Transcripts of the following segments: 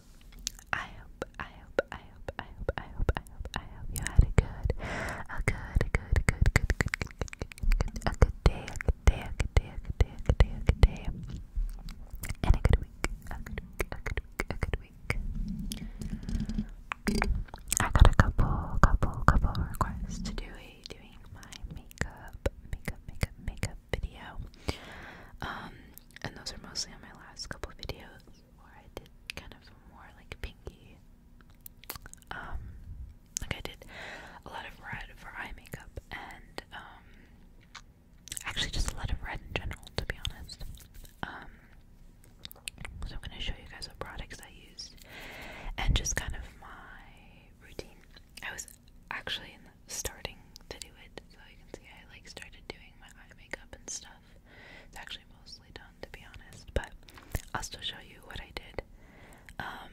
hope, I hope, I hope, I hope, I hope, I hope, I hope, I hope you had a good, a good, a good, a good, good, good, good, good, good, a good day, a good day, a good day, a good day, a good day, a good day, and a good week, a good week, a good week, a good week. I got a couple, couple, couple requests to do a doing my makeup, makeup, makeup, makeup video. Um, and those are mostly on my last couple videos. I did kind of more like pinky. Um, like I did a lot of red for eye makeup and um, actually just a lot of red in general, to be honest. Um, so I'm gonna show you guys the products I used and just kind of my routine. I was actually starting to do it, so you can see I like started doing my eye makeup and stuff it's actually mostly done, to be honest, but I'll still show you what I did. Um,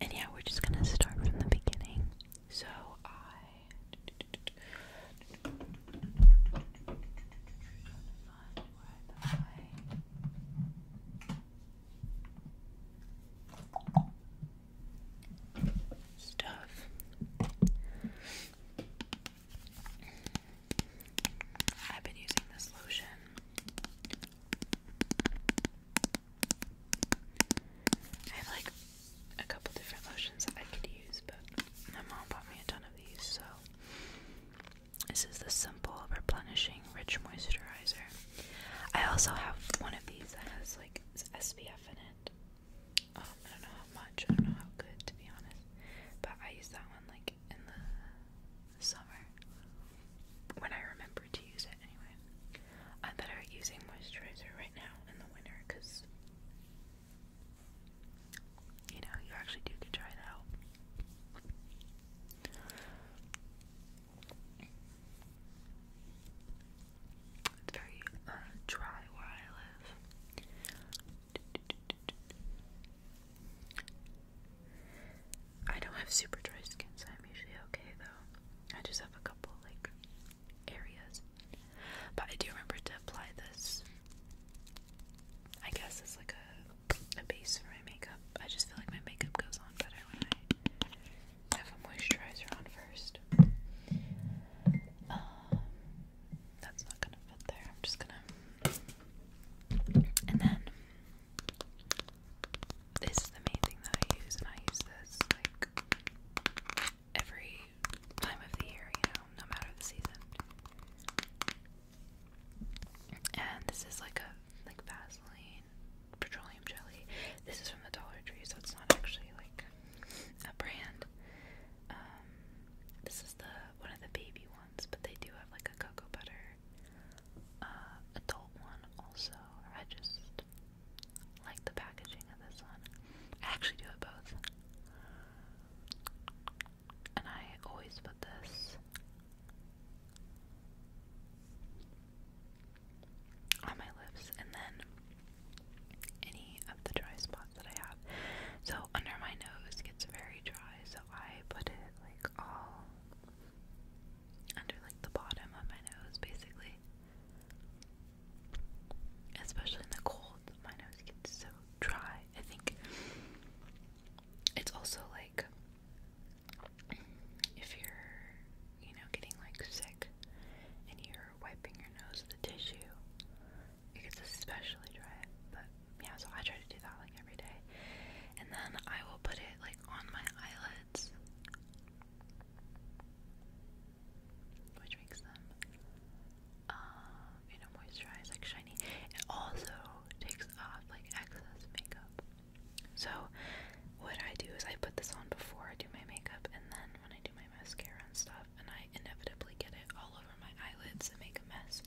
and yeah, we're just gonna start from the beginning. So I. Stuff. I've been using this lotion. I have like a couple different lotions that I could use, but my mom bought me a ton of these, so this is the simple replenishing rich moisturizer. I also have one of these that has like SPF in it. Um, I don't know how much, I don't know how good to be honest, but I use that one like in the summer when I remember to use it anyway. I'm better at using moisturizer right now in the winter because you know you actually do get dried out. It's very uh, dry where I live. I don't have super dry skin, so I'm usually okay though. I just have a couple like areas. But I do remember to apply this. I guess it's like a a base for my makeup. I just feel like my makeup goes on better when I have a moisturizer on first. Um, that's not gonna fit there. I'm just gonna. And then. This is the main thing that I use, and I use this like every time of the year, you know, no matter the season. And this is like a like Vaseline petroleum jelly. This is from the Dollar Tree, so it's not actually like a brand. Um, this is the one of the baby ones, but they do have like a cocoa butter uh, adult one also. I just like the packaging of this one. I actually do it both. And I always put this on my lips, and then any of the dry spots that I have. So under my nose gets very dry, so I put it like all under like the bottom of my nose basically. Especially in the cold, my nose gets so dry. I think it's also like if you're, you know, getting like sick and you're wiping your nose with a tissue, because it's especially dry. But yeah, so I try to do that like every day, and then I will put it like on my eyelids, which makes them, uh, you know, moisturized, like shiny. It also takes off like excess makeup. So what I do is I put this on before I do my makeup, and then when I do my mascara and stuff and I inevitably get it all over my eyelids and make a mess.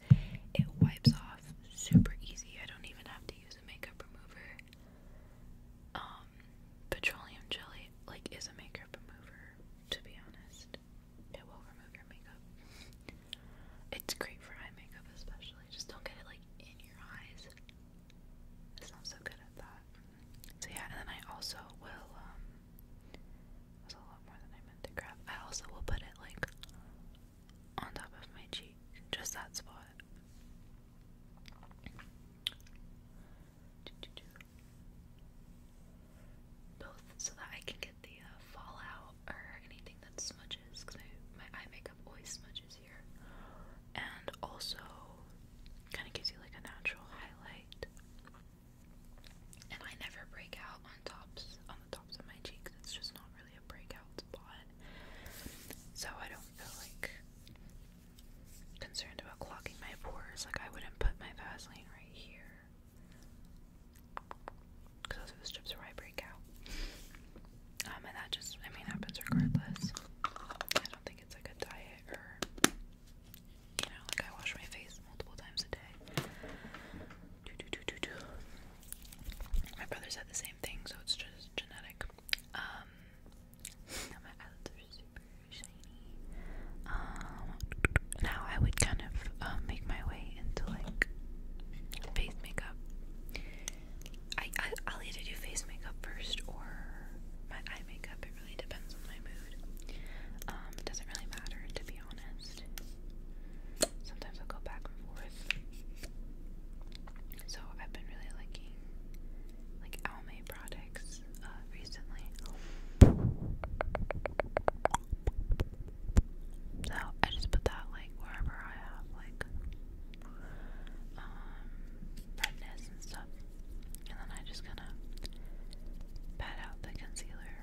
It wipes off super easy. I don't even have to use a makeup remover. Um, petroleum jelly like is a makeup remover, to be honest. It will remove your makeup. It's great for eye makeup especially. Just don't get it like in your eyes. It's not so good at that so yeah, and then I also will, um, a lot more than I meant to grab. I also will put it like on top of my cheek, just that spot. Both so that I can get the uh, fallout or anything that smudges, because my eye makeup always smudges here, and also kind of gives you like a natural highlight. And I never break out on tops on the tops of my cheeks. It's just not really a breakout spot. So I don't feel like concerned about clogging my pores. Like I wouldn't put my Vaseline right here. Cause those are the strips where I break out. Um and that just I mean happens regardless. I don't think it's like a diet or you know, like I wash my face multiple times a day. My brother said the same thing, so it's just genetic. Um, my eyelids are super shiny. Um, now I would kind of um, make my way into like face makeup. I, I i face makeup first or my eye makeup really depends on my mood. Um, it doesn't really matter, to be honest. Sometimes i go back and forth. So I've been really liking like Almay products uh, recently. So I just put that like wherever I have like um, redness and stuff. And then I just kind of pat out the concealer.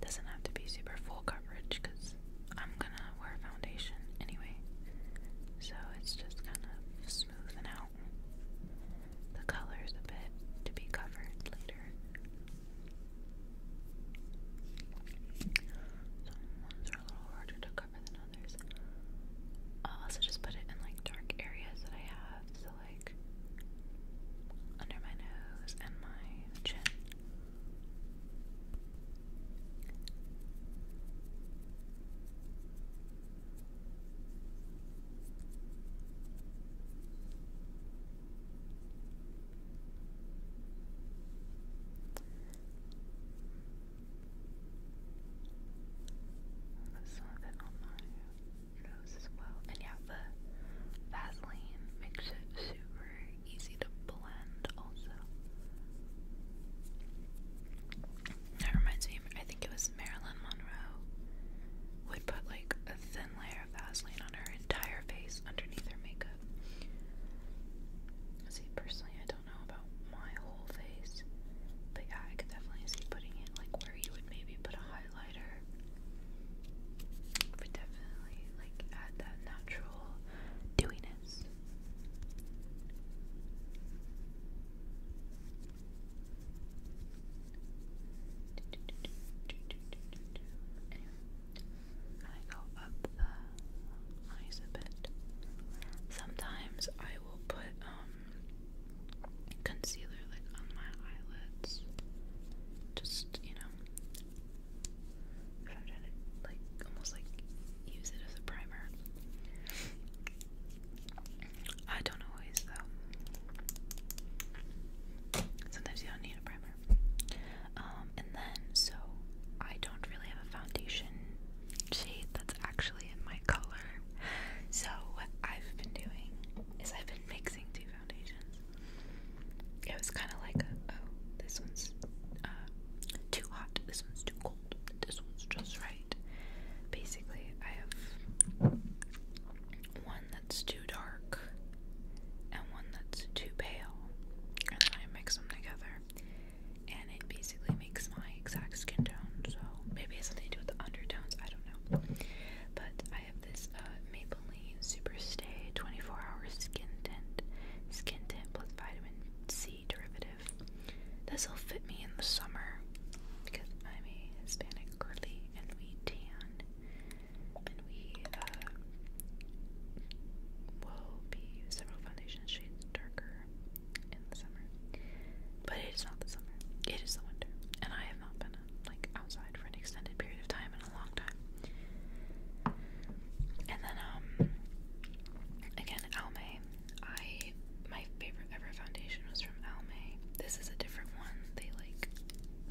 Doesn't have to be super full coverage because I'm gonna wear foundation anyway. So it's just kind of smoothing out the colors a bit to be covered later. Some ones are a little harder to cover than others. I'll also just put it in like dark areas that I have so like under my nose and my chin. Put some of it on my nose as well. And yeah, the Vaseline makes it super easy to blend also. That reminds me, I think it was Marilyn Monroe would put like a thin layer of Vaseline on her entire face underneath her makeup. See, personally, I don't know about my whole face, but yeah, I could definitely see putting it like where you would maybe put a highlighter. But definitely like add that natural dewiness. i go up the eyes a bit. Sometimes I will put um, concealer like on my eyelids. Just, you know, I'm trying to like almost like use it as a primer. I don't always though. Sometimes you don't need a primer. Um, and then so I don't really have a foundation shade that's actually in my color. So what I've been doing is I've been mixing two foundations. It was kind of like, oh, this one's uh, too hot, this one's too cold, this one's just right. Basically, I have one that's too dark and one that's too pale, and then I mix them together, and it basically makes my exact skin tone. Maybe it has something to do with the undertones. I don't know. But I have this uh, Maybelline Superstay 24-hour skin tint, skin tint plus vitamin C derivative. This will fit me in the summer because I'm a Hispanic girly and we tan and we uh, will be several foundation shades darker in the summer. But it is not the summer; it is the winter, and I not been like outside for an extended period of time in a long time. And then um again Almay. I my favorite ever foundation was from Almay. This is a different one. They like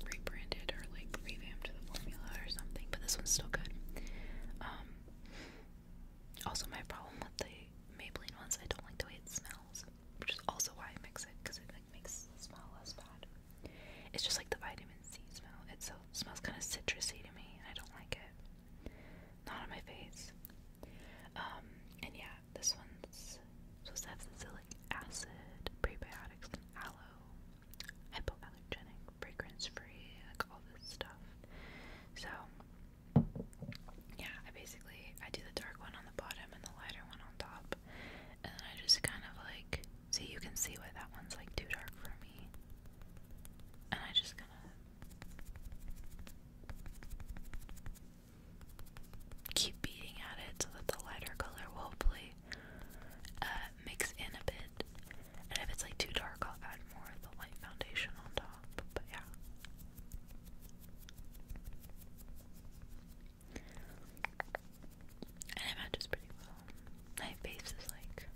rebranded or like revamped the formula or something, but this one's still good. Um also my problem with the Maybelline ones, I don't like the way it smells which is also why I mix it because it like makes the smell less bad. It's just like the vitamin C smell. It so smells kind of citrusy to me, and I don't like it. Not on my face. Um, and yeah, this one's supposed to have salicylic acid, prebiotics, aloe, hypoallergenic, fragrance-free, like all this stuff. So yeah, basically basically I do the dark one on the bottom and the lighter one on top. And then I just kind of like see you can see why that one's like too dark for me. And I just kind of keep beating at it so that the lighter color will hopefully uh, mix in a bit. And if it's like too dark, I'll add more of the light foundation on top. But yeah. And it matches pretty well. My face is like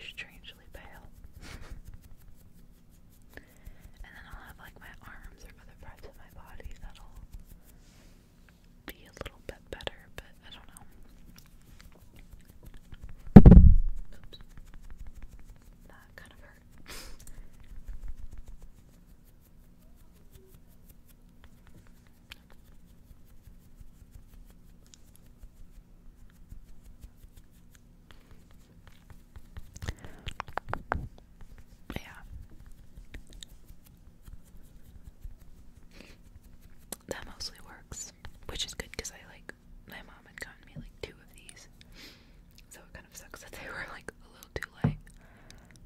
strangely pale. and then I'll have like my arms or other parts of my body that'll be a little bit better, but I don't know. That kind of hurt. Yeah. That mostly works, which is good because I like my mom had gotten me like two of these, so kind sucks that they were like a little too late.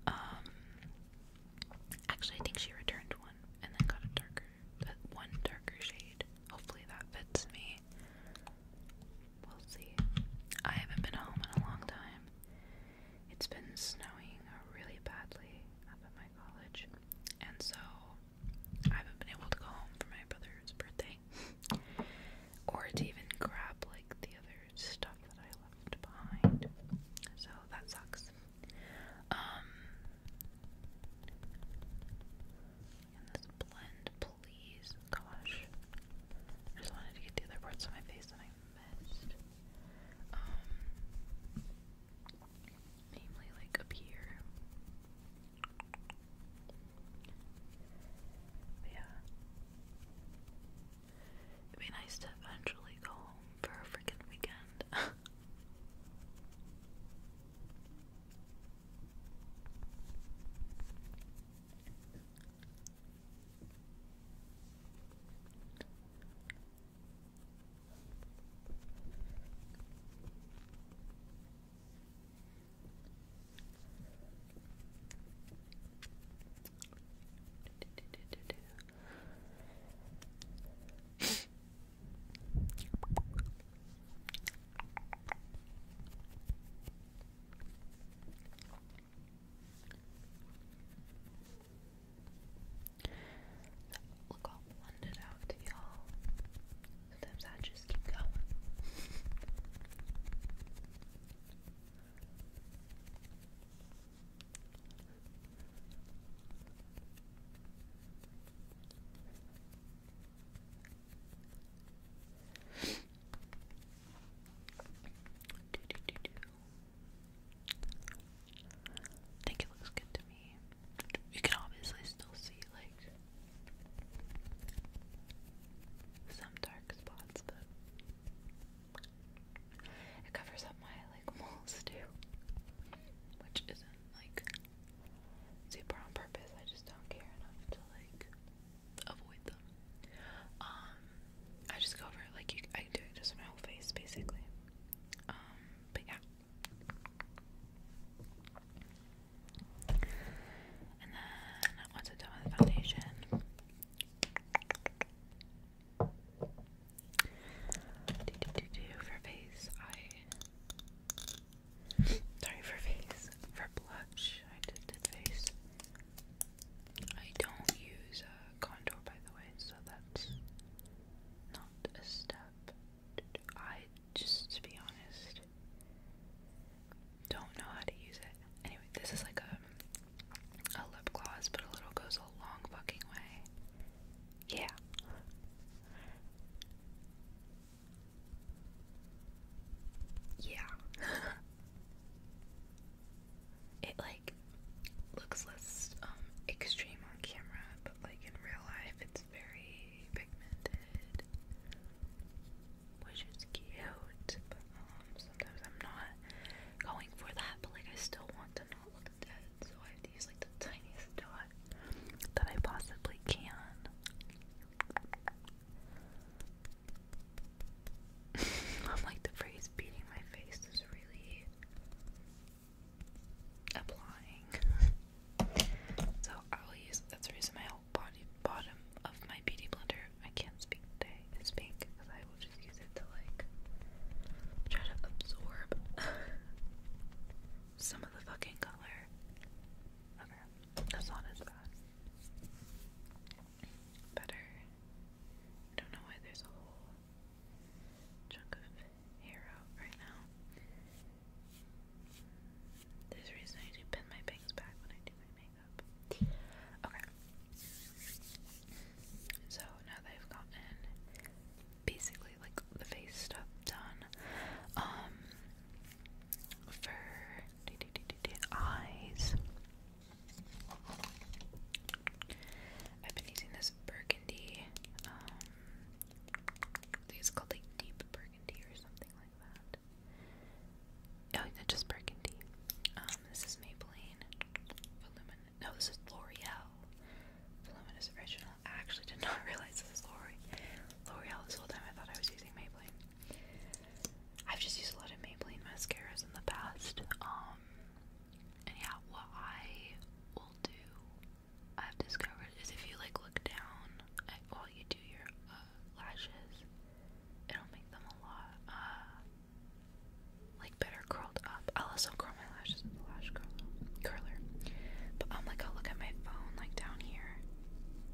Um, actually, I think she returned one and then got a darker, uh, one darker shade. Hopefully that fits me. We'll see. I haven't been home in a long time. It's been snowing really badly up at my college, and so I haven't been able to go home for my brother's birthday or to even grab like the other stuff that I left behind. So that sucks. Um, this blend, please. Gosh, I just wanted to get the other parts of my face that I missed. Um, namely, like up here. yeah, It'd be nice to eventually go home for a freaking weekend. Look all blended out, y'all. Sometimes I just keep going. I think it looks good to me. You can obviously still see like some dark spots, but it covers up my like moles too, which isn't like super on purpose. I just don't care enough to like avoid them. Um, I just go over like you. I do it just on my whole face basically. Um, but yeah. And then once i done with foundation. Do, do, do, do. For face, I. Sorry, for face. For blush, I did, face. I don't use a contour, by the way, so that's not a step. I just, to be honest, don't know how to use it. Anyway, this is like a a lip gloss, but a little goes a long fucking way. Yeah. Yeah. it like looks less um extreme on camera, but like in real life it's very pigmented which is cute. But um, sometimes I'm not going for that, but like I still want to not look dead, so I have to use like the tiniest dot that I possibly can. I'm like the phrase beating my face is really applying. so I'll that's the reason my body bottom of my beauty blender. I can't speak today. It's because I will just use it to like try to absorb some of the fucking color. that's not as bad. Better. don't know why there's a whole chunk of hair out right now. There's a reason I do pin my bangs back when I do my makeup. Okay. So now that I've gotten basically like the face stuff done, um, for eyes, I've been using this burgundy. Um, it's called like deep burgundy or something like that. Oh, just burgundy. Um, this is Maybelline. No, this is L'Oreal. is Original. I actually did not realize this is L'Oreal this whole time. I thought I was using Maybelline. I've just used a lot of Maybelline mascaras in the past. Um, and yeah, what I will do, I've discovered, is if you like look down while you do your uh, lashes, It'll make them a lot, uh, like better curled up. I'll also curl my lashes with a lash curler. But I'm like, i look at my phone, like down here,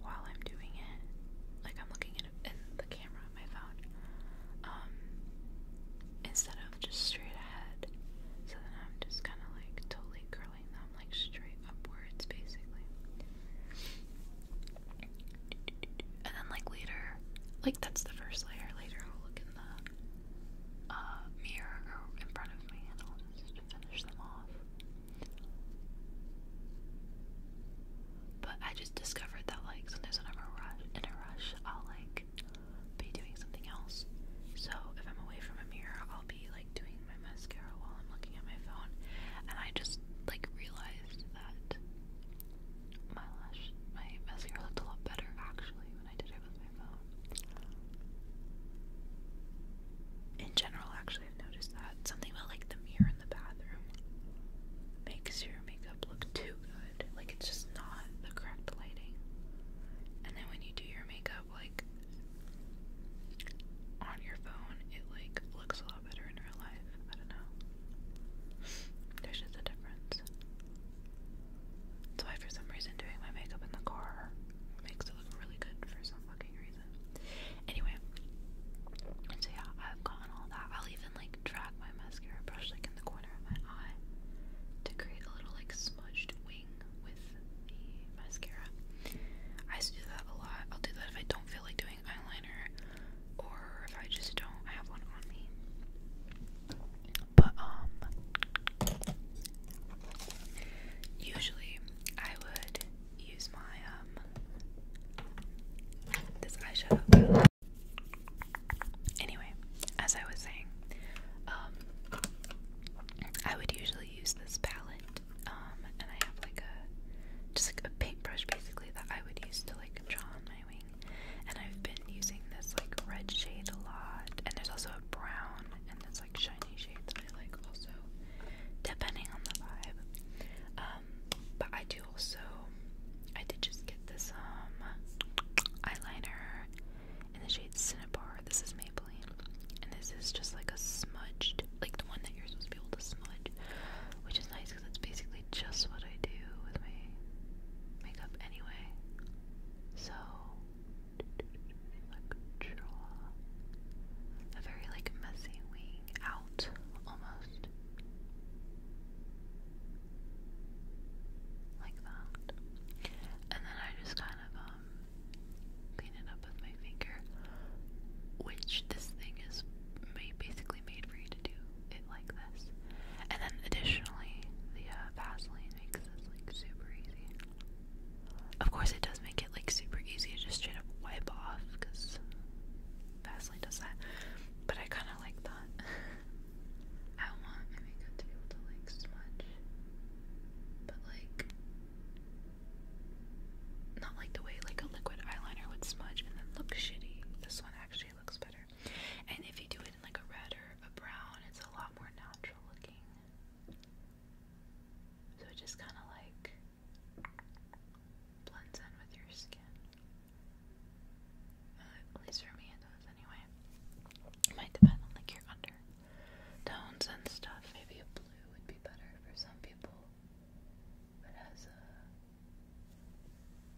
while I'm doing it. Like I'm looking at the camera on my phone, um, instead of just straight ahead. So then I'm just kind of like totally curling them like straight upwards, basically. And then like later, like that's the first layer. Later I'll look in the uh, mirror in front of me and i just finish them off. But I just discovered that like sometimes when I'm a rush, in a rush, I'll like be doing something else. So if I'm away from a mirror, I'll be like doing my mascara while I'm looking at my phone, and I just like realized that my lash, my mascara looked a lot better actually when I did it with my phone. In general, actually, I've noticed that something about like the mirror in the bathroom makes your makeup look too good. Like it's just not the correct lighting. And then when you do your makeup like on your phone, it like looks a lot better in real life. I don't know. There's just a difference. That's why, for some reason, doing my makeup in the car makes it look really good for some fucking reason. Anyway, so yeah, I've gotten all that. I'll even like drag my mascara brush like in the corner of my eye to create a little like smudged wing with the mascara. I do that a lot. I'll do that if I don't feel like doing eyeliner or if I just don't have one on me. But, um, usually I would use my, um, this eyeshadow palette. Anyway, as I was saying, um, I would usually use this palette, um, and I have like a, just like a paintbrush basically that I would use to like draw on my wing. And I've been using this like red shade a lot. And there's also a brown and this like shiny shade that I like also, depending on the vibe. Um, but I do also, I did just get this um eyeliner in the shade Cinnabar. This is Maybelline. And this is just like a smudged, like the one that you're supposed to be able to smudge, which is nice that's basically just what I do with my makeup anyway. So, draw a very like messy wing out almost. Like that. And then I just kind of um, clean it up with my finger. Which this thing is basically made for you to do it like this. And then additionally, the uh, Vaseline makes this like super easy. Of course, it does make it like super easy to just straight up wipe off because Vaseline does that. But I kind of like that. I want my makeup to be able to like smudge, but like not like the way like a liquid eyeliner would smudge and then look shitty. This one actually looks better. And if you do it in like a red or a brown, it's a lot more natural looking. So it just kind of like blends in with your skin. Uh, at least for me, it does anyway. might depend on like your undertones and stuff. Maybe a blue would be better for some people. But as a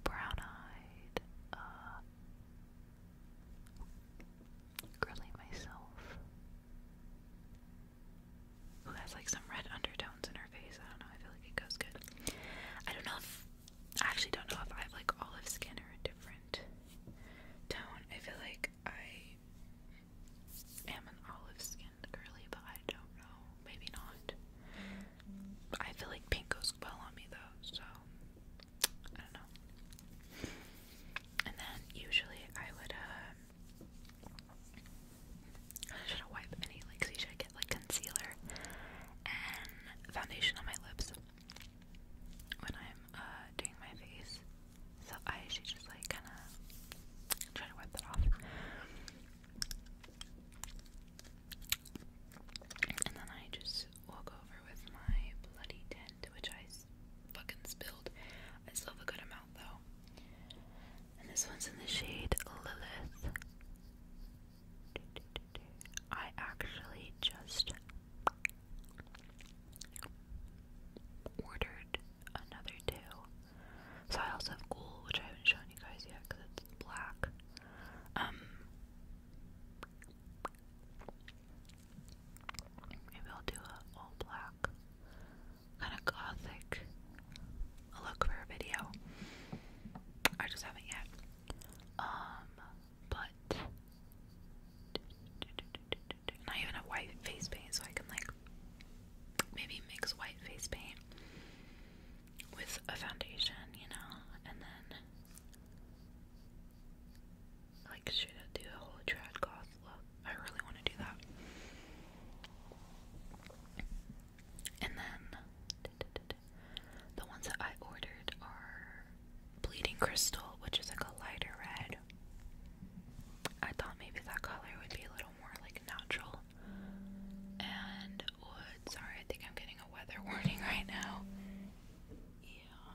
brown-eyed, uh, grilling myself, who has like some red undertones in her face. I don't know. I feel like it goes good. I don't know if I actually don't know if I have like olive skin or a different tone. I feel like I am an olive skin and but I don't know. Maybe not. I feel like pink goes well on me though, so I don't know. And then usually I would uh I wipe any like so you get like concealer and foundation on my lips when I'm uh, doing my face. So I should just like kinda try to wipe that off. And then I just walk over with my bloody tent, which I fucking spilled. I still have a good amount though. And this one's in the shade Lilith. I actually just ordered another two so I also have Ghoul, which I haven't shown you guys yet because it's black. Um, maybe I'll do a all black, kind of gothic look for a video. I just haven't yet. Um, but not even a white face paint, so I can like maybe mix white face paint with a foundation, you know, and then like should I do a whole trad goth look? I really want to do that. And then the ones that I ordered are Bleeding Crystal, which is like a lighter red. I thought maybe that color would be a little more like natural. And wood. Sorry, I think I'm getting a weather warning right now. Yeah.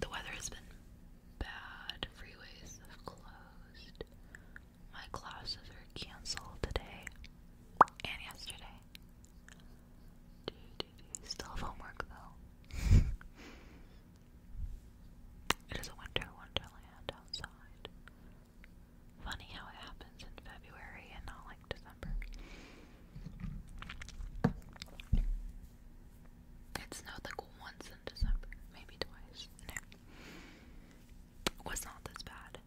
The weather has been bad. Freeways have closed. My classes are canceled today and yesterday. Still have homework though. it is a winter wonderland outside. Funny how it happens in February and not like December. It snowed like once in December, maybe twice. No. was not this bad.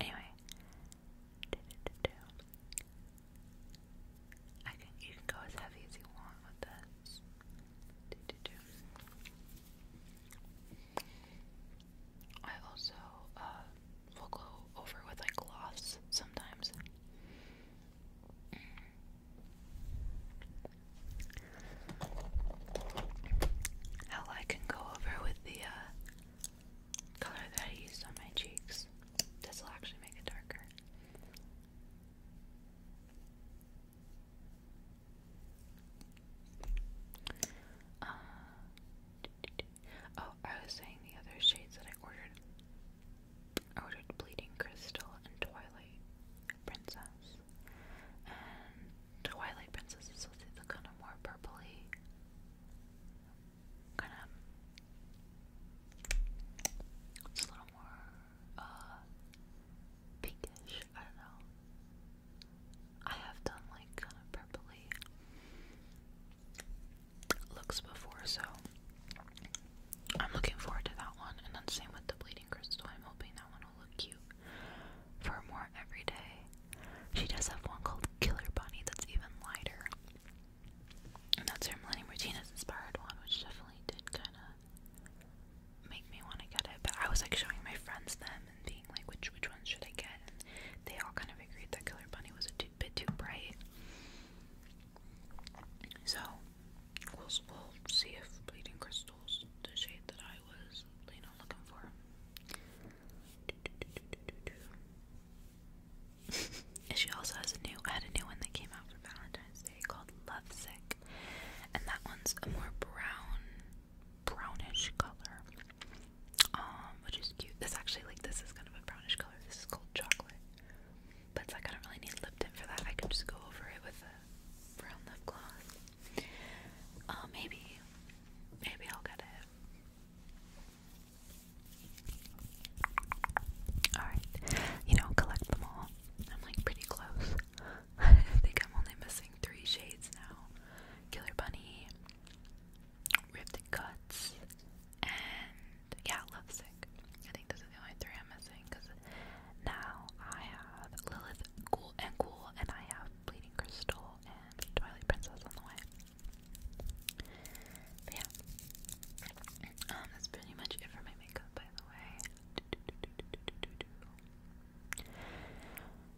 Anyway. I can you can go as heavy as you want with this. I also uh, will go over with like gloss sometimes. Hell, can go over with the uh, color that I used on my cheeks. This will actually make it darker. Uh, oh, I was saying the other shades that I ordered. I ordered Bleeding Crystal and Twilight Princess. And Twilight Princess is the kind of more purpley, kind of. It's a little more uh, pinkish. I don't know. I have done like kind of purpley looks before, so I'm looking forward to that one. And then same with the bleeding crystal. I'm hoping that one will look cute for more everyday. She does have one called Killer Bunny that's even lighter. And that's her Millennium Martinez inspired one, which definitely did kind of make me want to get it. But I was like showing my friends then and being like, which which ones should I get? they all kind of agreed that Killer Bunny was a bit too bright. So we'll see if Bleeding Crystal's the shade that I was, you know, looking for. she also has a new I had a new one that came out for Valentine's Day called Lovesick. And that one's a more brown brownish color, um, which is cute. This actually, like, this is kind of a brownish color. This is called chocolate, but I don't really need lip for that. I can just go over it with a brown lip gloss. Uh, maybe, maybe I'll get it. Alright, you know, collect them all. I'm like pretty close. I think I'm only missing three shades now. Killer Bunny, Ripped Cuts, and yeah, love sick. I think those are the only three I'm missing because now I have Lilith Cool and Cool, and I have Bleeding Crystal and Twilight Princess on the way. yeah, um, that's pretty much it for my makeup, by the way.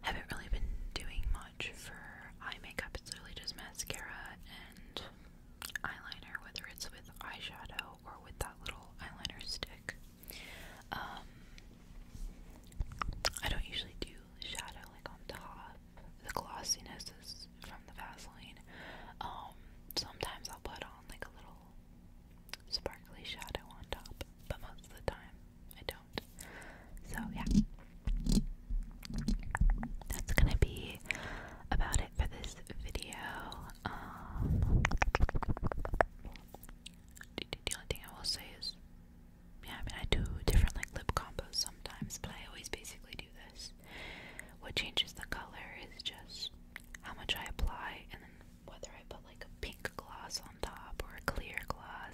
Haven't really been doing much for eye makeup. It's really just mascara and eyeliner, whether it's with eyeshadow or with that little eyeliner stick. Um, I don't usually do shadow like on top. The glossiness is from the Vaseline. Um, sometimes I'll put on like a little sparkly shadow on top, but most of the time I don't. So, yeah. That's gonna be about it for this video. Um, the, the only thing I will say is, yeah, I mean, I do different like lip combos sometimes, but I always basically do this. What changes the color is just how much I apply and then whether I put like a pink gloss on top or a clear gloss